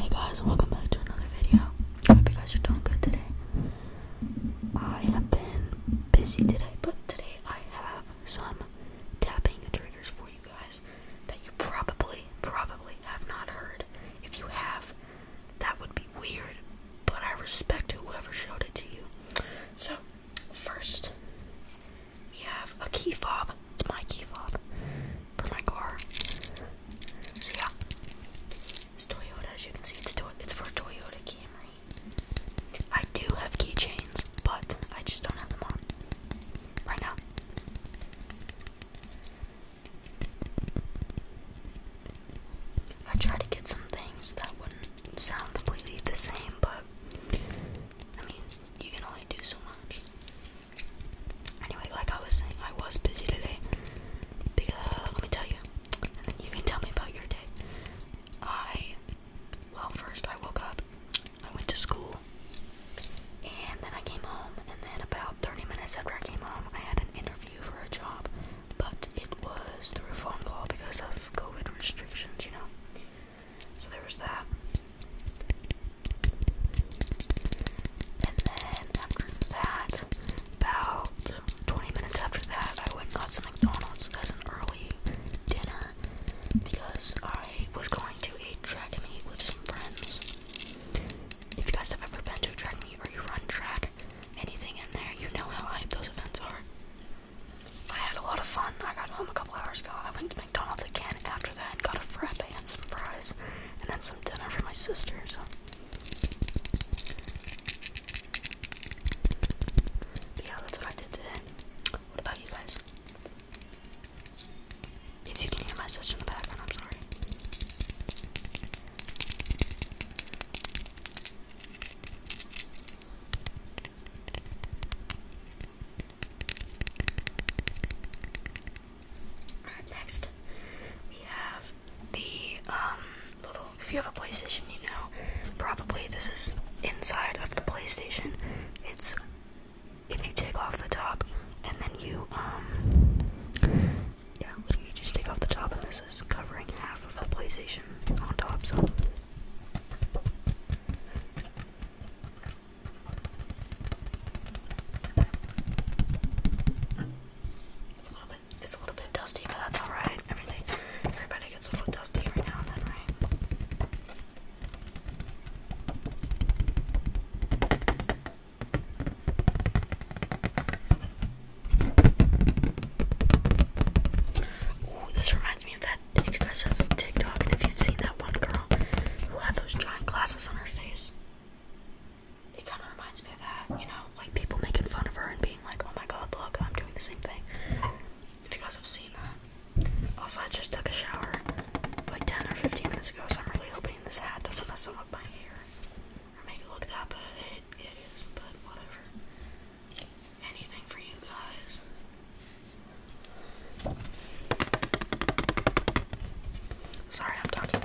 Hey guys, welcome back to another video. I hope you guys are doing good today. I have been busy today, but today I have some tapping triggers for you guys that you probably, probably have not heard. If you have, that would be weird, but I respect whoever showed it to you. So, first, we have a key fob. It's my key fob for my car. So yeah, it's Toyota. As you can see, it's, to it's Toyota Camry. I do have keychains, but I just don't have them on right now. I try to get some things that wouldn't sound completely the same, but I mean, you can only do so much. Anyway, like I was saying, I was busy today. Because let me tell you, and then you can tell me about your day. I, well, first I woke up, I went to school, and then I came home. And then about 30 minutes after I came home, I had an interview for a job, but it was through phone call because of COVID restrictions, you know. So there was that. And then after that, about 20 minutes after that, I went and got some McDonald's as an early dinner because I was going to a track meet with some friends. If you guys have ever been to a track meet or you run track, anything in there, you know how hype those events are. I had a lot of fun. I got home a couple hours ago. I went to McDonald's again after after that got a frappe and some fries and then some dinner for my sisters. yeah, that's what I did today. What about you guys? If you can hear my sister in the background, I'm sorry next we have the um, little if you have a PlayStation you know probably this is inside of the PlayStation. It's if you take off the top and then you um yeah, you just take off the top and this is covering half of the PlayStation on top, so it's a little bit it's a little bit dusty, but that's alright. Everything everybody gets a little dusty every now and then, right? Ooh, this reminds me of that. If you guys have TikTok and if you've seen that one girl who had those giant glasses on her face it kind of reminds me of that, you know, like people making fun of her and being like, oh my god, look, I'm doing the same thing. If you guys have seen that. Also, I just took a shower like 10 or 15 minutes ago, so I'm really hoping this hat doesn't mess up my hair or make it look that, but it, it is, but whatever. Anything for you guys. Sorry, I'm talking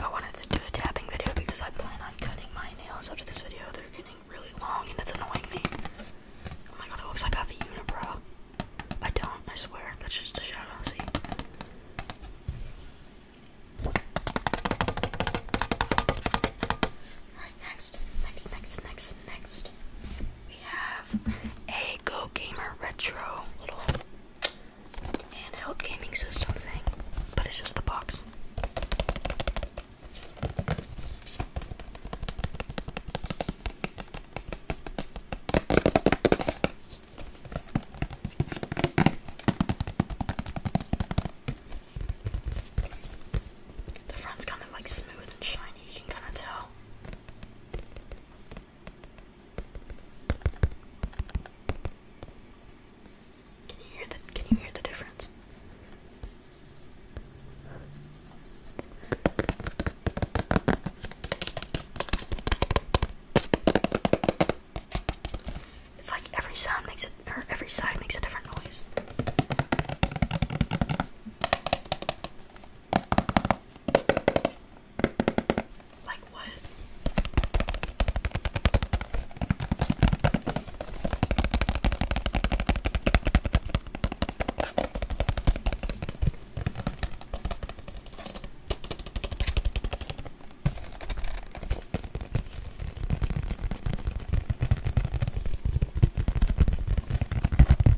I wanted to do a tapping video because I plan on cutting my nails after this video. They're getting really long and it's annoying me. Oh my god, it looks like I have a unibrow. I don't, I swear. That's just a shadow, see? Alright, next, next, next, next, next. We have a Go Gamer Retro little handheld gaming system thing, but it's just the box. The front's kind of like smooth and shiny, you can kind of tell. Can you hear the Can you hear the difference? It's like every sound makes it, or every side makes a different noise. Like what?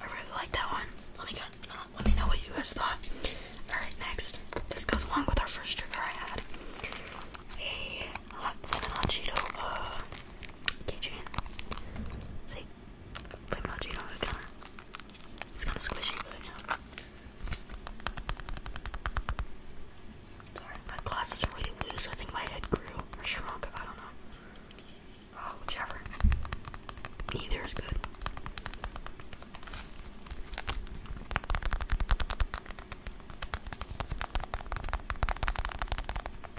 I really like that one. Let me get, uh, let me know what you guys thought. All right, next. This goes along with our first trigger I had. A hot, hot Cheeto uh, See, it's kinda squishy, but yeah. my glasses are really loose. I think my head grew or shrunk. I don't know. Oh, whichever. Either is good.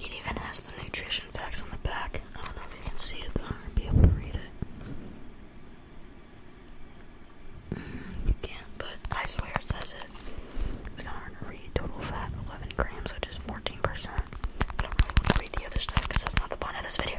It even has the nutrition facts on the back. I don't know if you can see it though, or be able to read it. Mm, you can't, but I swear it says it. It's kind to read. Total fat 11 grams, which is 14%. I don't really want to read the other stuff because that's not the point of this video.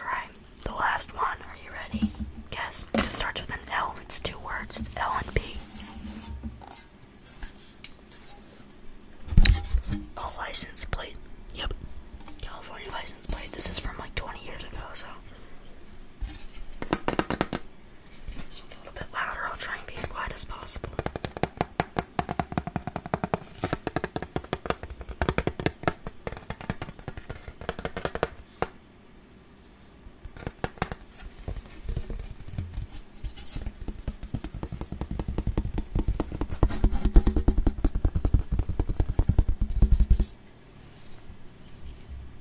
Alright, the last one. Are you ready? Guess. It starts with an L. It's two words. L and P. A license plate. Yep. California license plate. This is from like 20 years ago, so. This a little bit louder. I'll try and be as quiet as possible.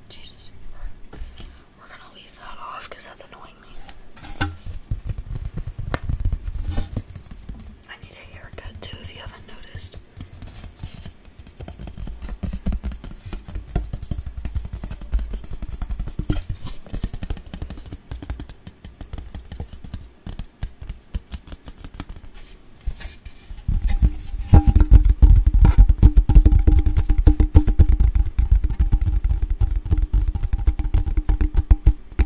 Jesus. We're gonna leave that off because that's annoying. I need a haircut too if you haven't noticed.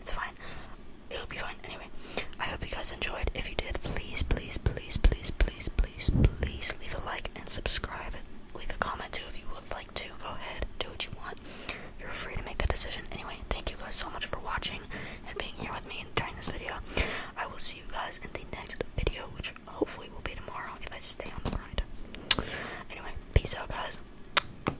It's fine. It'll be fine. Anyway, I hope you guys enjoyed. If you did, please, please, please, please, please, please, please leave a like and subscribe. Leave a comment too if you would like to. Go ahead, do what you want. You're free to make that decision. Anyway, thank you guys so much for watching and being here with me during this video. I will see you guys in the next video, which hopefully will be tomorrow if I stay on the grind. Anyway, peace out, guys.